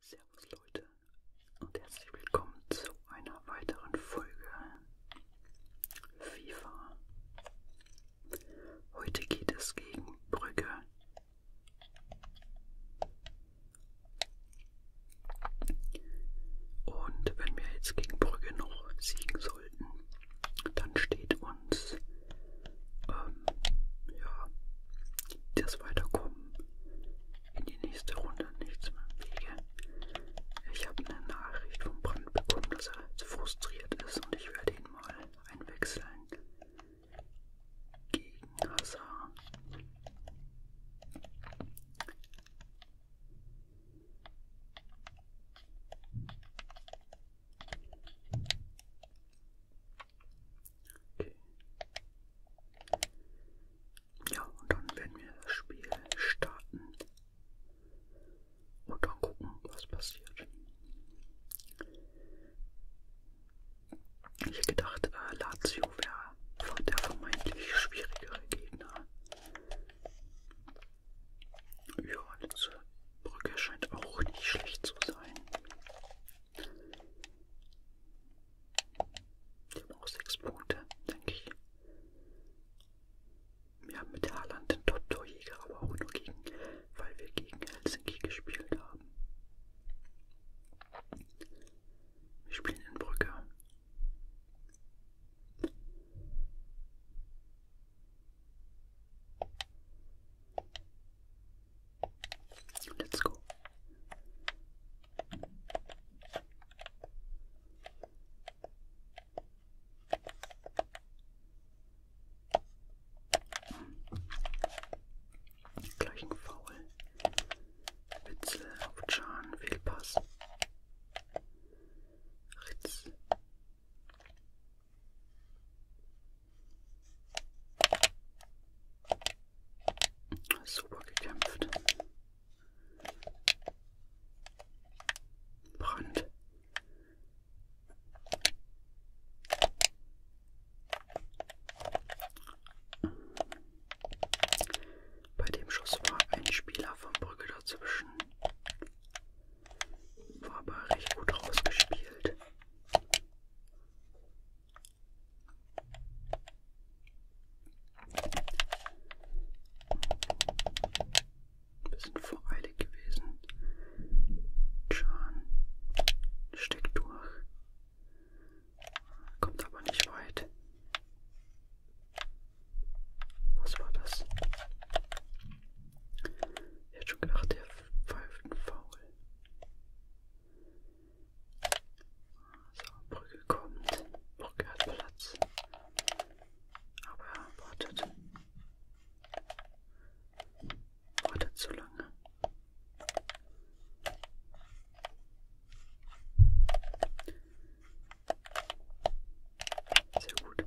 Servus Leute und herzlich willkommen zu einer weiteren Folge FIFA. Heute geht es gegen Brügge. Und wenn wir jetzt gegen Brügge noch siegen sollten, dann steht uns ähm, ja, das Weiterkommen in die nächste Runde nichts mehr im Wege. Ich habe eine Nachricht vom Brand bekommen, dass er jetzt frustriert ist und ich werde ihn mal einwechseln gegen Hazard. Okay. Ja, und dann werden wir das Spiel starten und dann gucken, was passiert. Ich hätte gedacht, äh, Lazio wäre der vermeintlich schwierigere Gegner. Ja, diese Brücke scheint auch nicht schlecht zu sein. Die haben auch sechs Punkte, denke ich. Wir haben mit Haaland den Top-Torjäger, aber auch nur gegen, weil wir gegen Helsinki gespielt haben. Wir spielen in Brücke. Let's go. Gleich ein Foul. Witzel auf Can, Fehlpass. Ritz. Super gekämpft. Brand. Bei dem Schuss war ein Spieler von Brügge dazwischen. War aber recht gut rausgespielt. Ein bisschen voreilig gewesen. John steckt durch. Kommt aber nicht weit. Was war das? Ich hätte schon gedacht, der pfeift faul. So, Brügge kommt. Brügge hat Platz. Aber wartet. Wartet zu lange. Sehr gut.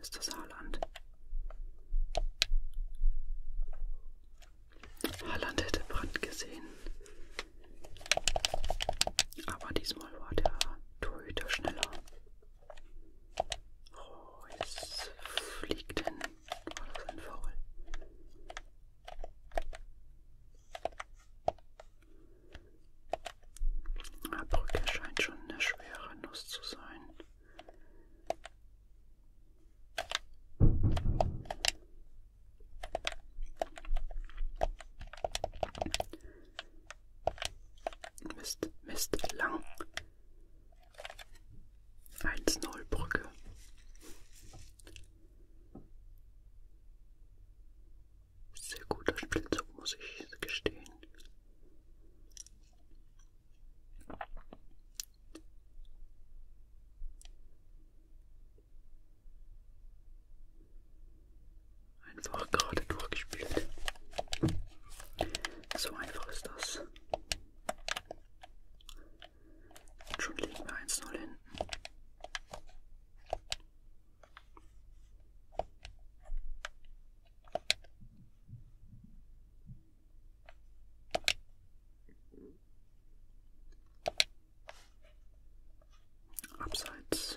ist das Haaland. Haaland hätte Brand gesehen. Aber diesmal war der Torhüter schneller. Oh, jetzt fliegt hin. War das ein Foul? Brücke scheint schon eine schwere Nuss zu sein. Mist, Mist, lang. 1-0 Brücke. Sehr guter Spielzug, muss ich gestehen. Einfach gerade durchgespielt. So einfach ist das. Und schon liegen wir 1-0 hinten. Abseits.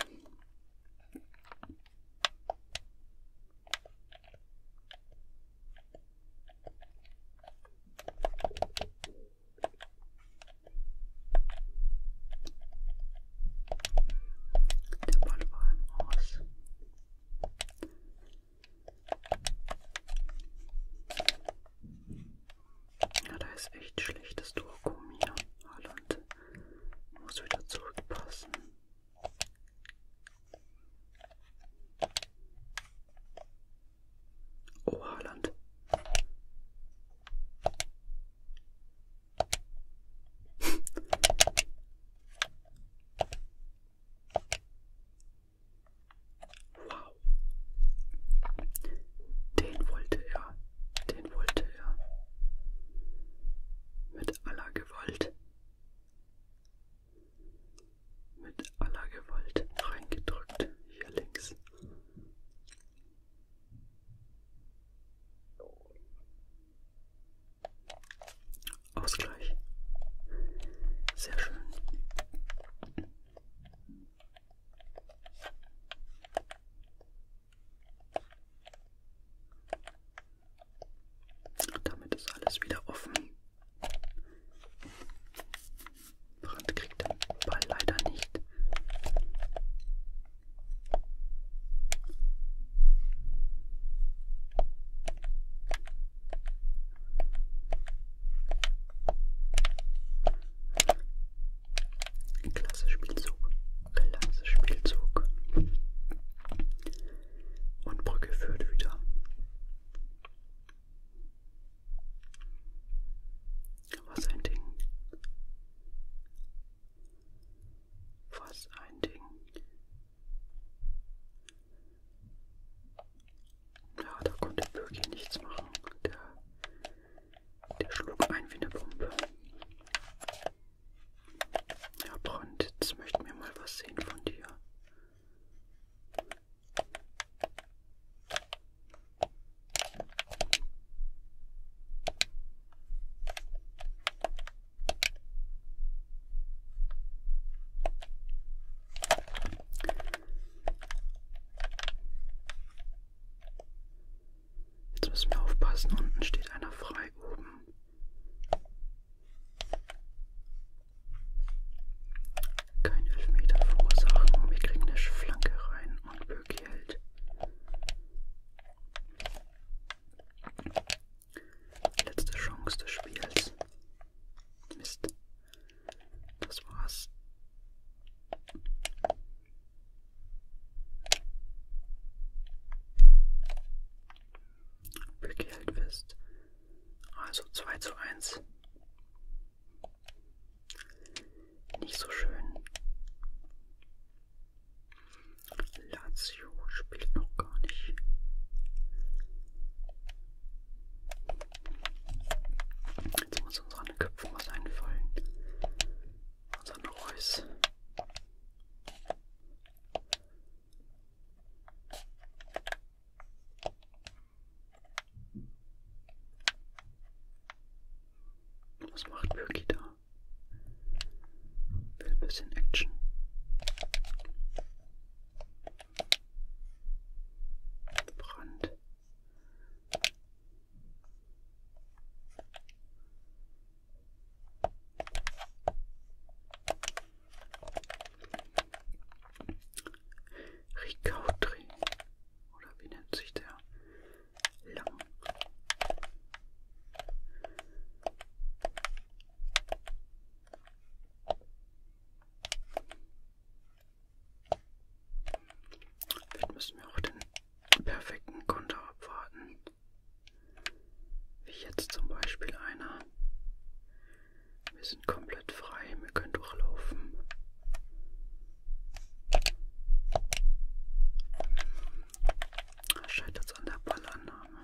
Der Ball war im Aus. Ja, da ist echt schlechtes Durchkommen hier. Holland muss wieder zurückpassen. Oh, Holland. Wow. Den wollte er, den wollte er. Mit aller Gewalt. Mit aller Gewalt reingedrückt. Hier links. Ausgleich. Sehr schön. Damit ist alles wieder offen. Brand kriegt den Ball leider nicht. Klasse Spielzug, klasse Spielzug. Und Brücke führt wieder. Was ein Ding. Was ein Ding. Ja, da konnte Bögi nichts machen. Der, der schlug ein wie eine Bombe. Ja, Brand, jetzt möchten wir mal was sehen von dir. Jetzt müssen wir aufpassen, unten steht einer frei oben. Kein Elfmeter verursachen, wir kriegen eine Flanke rein und Böcki hält. Letzte Chance des Spiels. Mist. Das war's. Bücke hält fest. Also 2 zu 1. Nicht so schön. Lazio spielt noch gar nicht. Jetzt muss uns an den Köpfen was einfallen. Unser Neues. Was macht Birki da? Will ein bisschen Action. Brand. Ricautri. Oder wie nennt sich der? Lang. Vielleicht müssen wir auch den perfekten Konter abwarten. Wie jetzt zum Beispiel einer. Wir sind komplett frei, wir können durchlaufen. Scheitert es an der Ballannahme.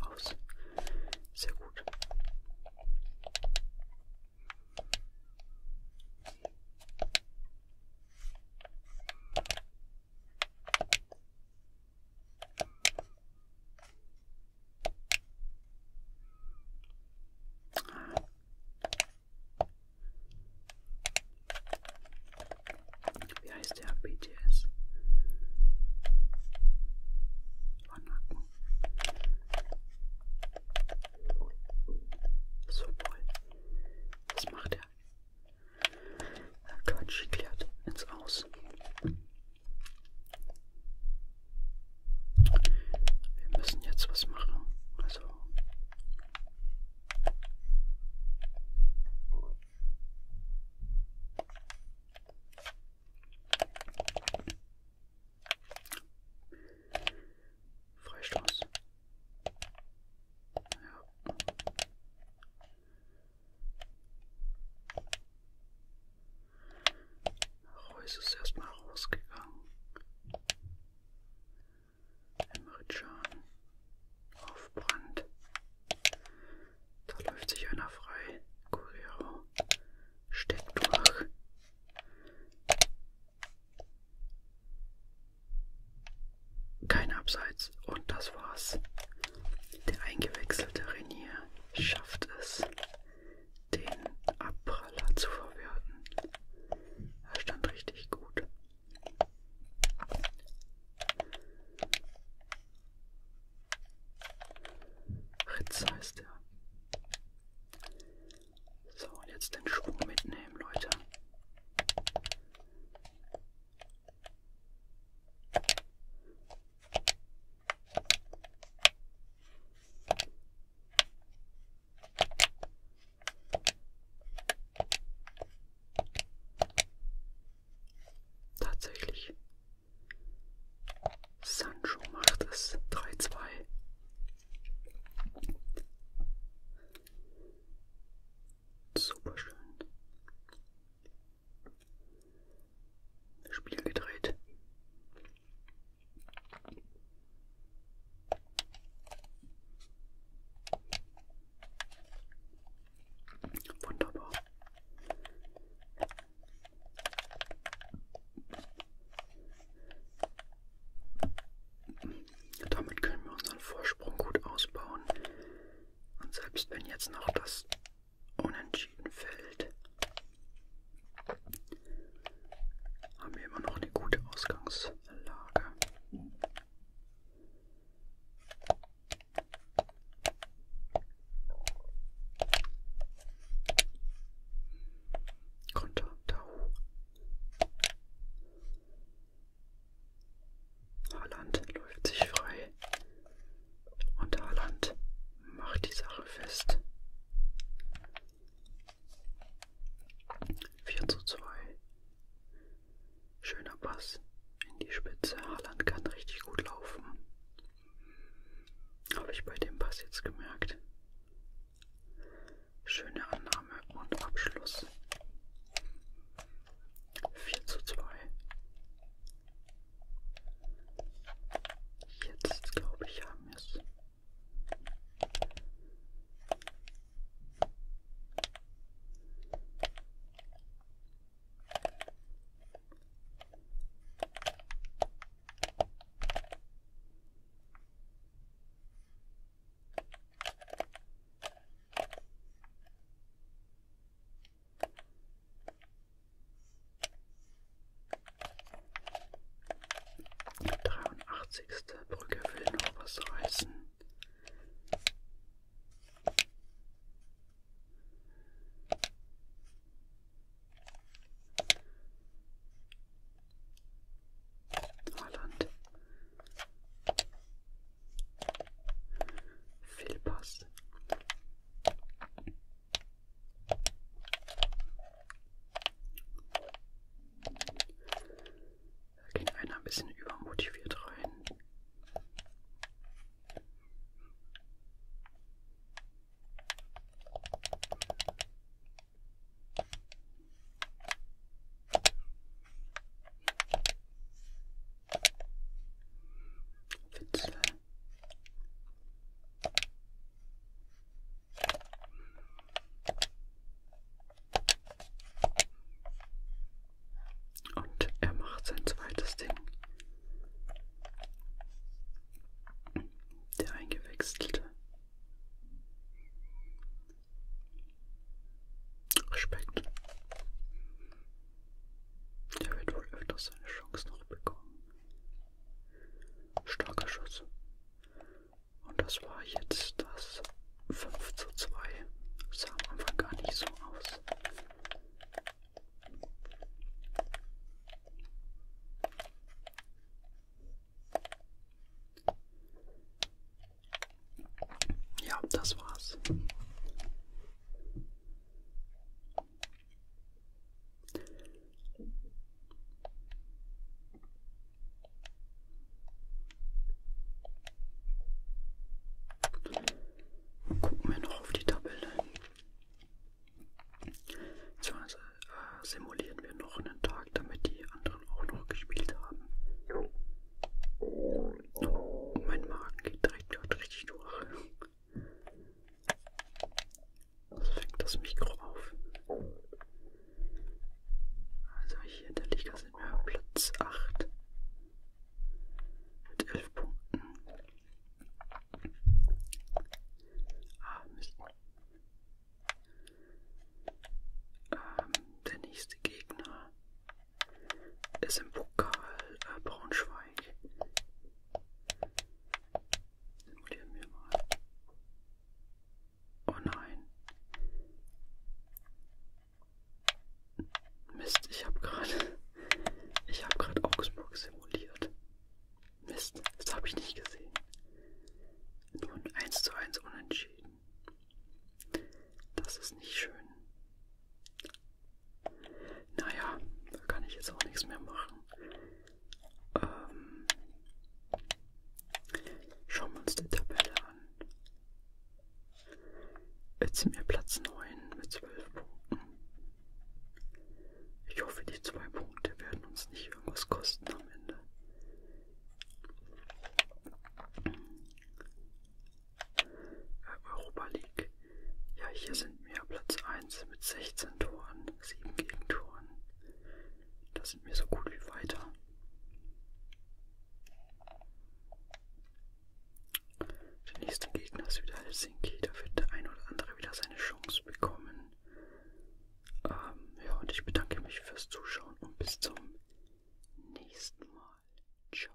Aus. Sehr gut. Wie heißt der BTS? Wanacken. So toll. Was macht er? Quatsch klärt ins Aus. Wir müssen jetzt was machen. Also Freistoß. Ja. Reus ist erstmal rausgegangen. Emre Can auf Brand. Da läuft sich einer frei. Guerrero steckt durch. Kein Abseits und das war's. Der eingewechselte Renier schafft es, den Abpraller zu verwerten. Er stand richtig gut. Ritz heißt er. So, und jetzt den Schwung mitnehmen, Leute. Tatsächlich. Sancho macht es 3-2. Super schön. Spiel gedreht. Wunderbar. Damit können wir unseren Vorsprung gut ausbauen. Und selbst wenn jetzt noch das unentschieden fällt, haben wir immer noch eine gute Ausgangslage. Konter Tau. Haaland läuft sich frei. Und Haaland macht die Sache fest. 4 zu 2. Schöner Pass in die Spitze. Haaland kann richtig gut laufen. Habe ich bei dem Pass jetzt gemerkt. Schöne Annahme und Abschluss. 4 zu 2. Jetzt glaube ich haben wir es. 83. Brücke will noch was reißen. Holland. Fehlpass. Da ging einer ein bisschen übermotiviert rein. Witzel. Und er macht sein zweites Ding. Der eingewechselte. Respekt. Der wird wohl öfters seine Chance noch bekommen. Starker Schuss. Und das war jetzt das 5 zu 2. Sah am Anfang gar nicht so aus. Ja, das war's. Gucken wir noch auf die Tabelle. Beziehungsweise äh, simulieren wir noch einen Tag, damit die anderen auch noch gespielt haben. Oh, mein Magen geht direkt richtig durch. Das fängt das Mikro auf. Also hier in der Liga sind wir Platz 8 mit 11 Punkten. Ah, Mist. Ähm, der nächste Gegner ist im Pokal äh, Braunschweig. Notieren wir mal. Oh nein. Mist, ich habe gerade. Ich habe gerade Augsburg simuliert. Mist, das habe ich nicht gesehen. Nur ein 1 zu 1 unentschieden. Das ist nicht schön. Naja, da kann ich jetzt auch nichts mehr machen. Ähm, schauen wir uns die Tabelle an. Jetzt sind wir Platz 9 mit 12 Punkten. Ich hoffe, die zwei Punkte werden uns nicht irgendwas kosten am Ende. Europa League. Ja, hier sind wir Platz 1 mit 16 Toren, 7 Gegentoren. Da sind wir so gut wie weiter. Der nächste Gegner ist wieder Helsinki. Da wird der ein oder andere wieder seine Chance bekommen. Ähm, ja, und ich bedanke mich fürs Zuschauen und bis zum nächsten Mal. Ciao.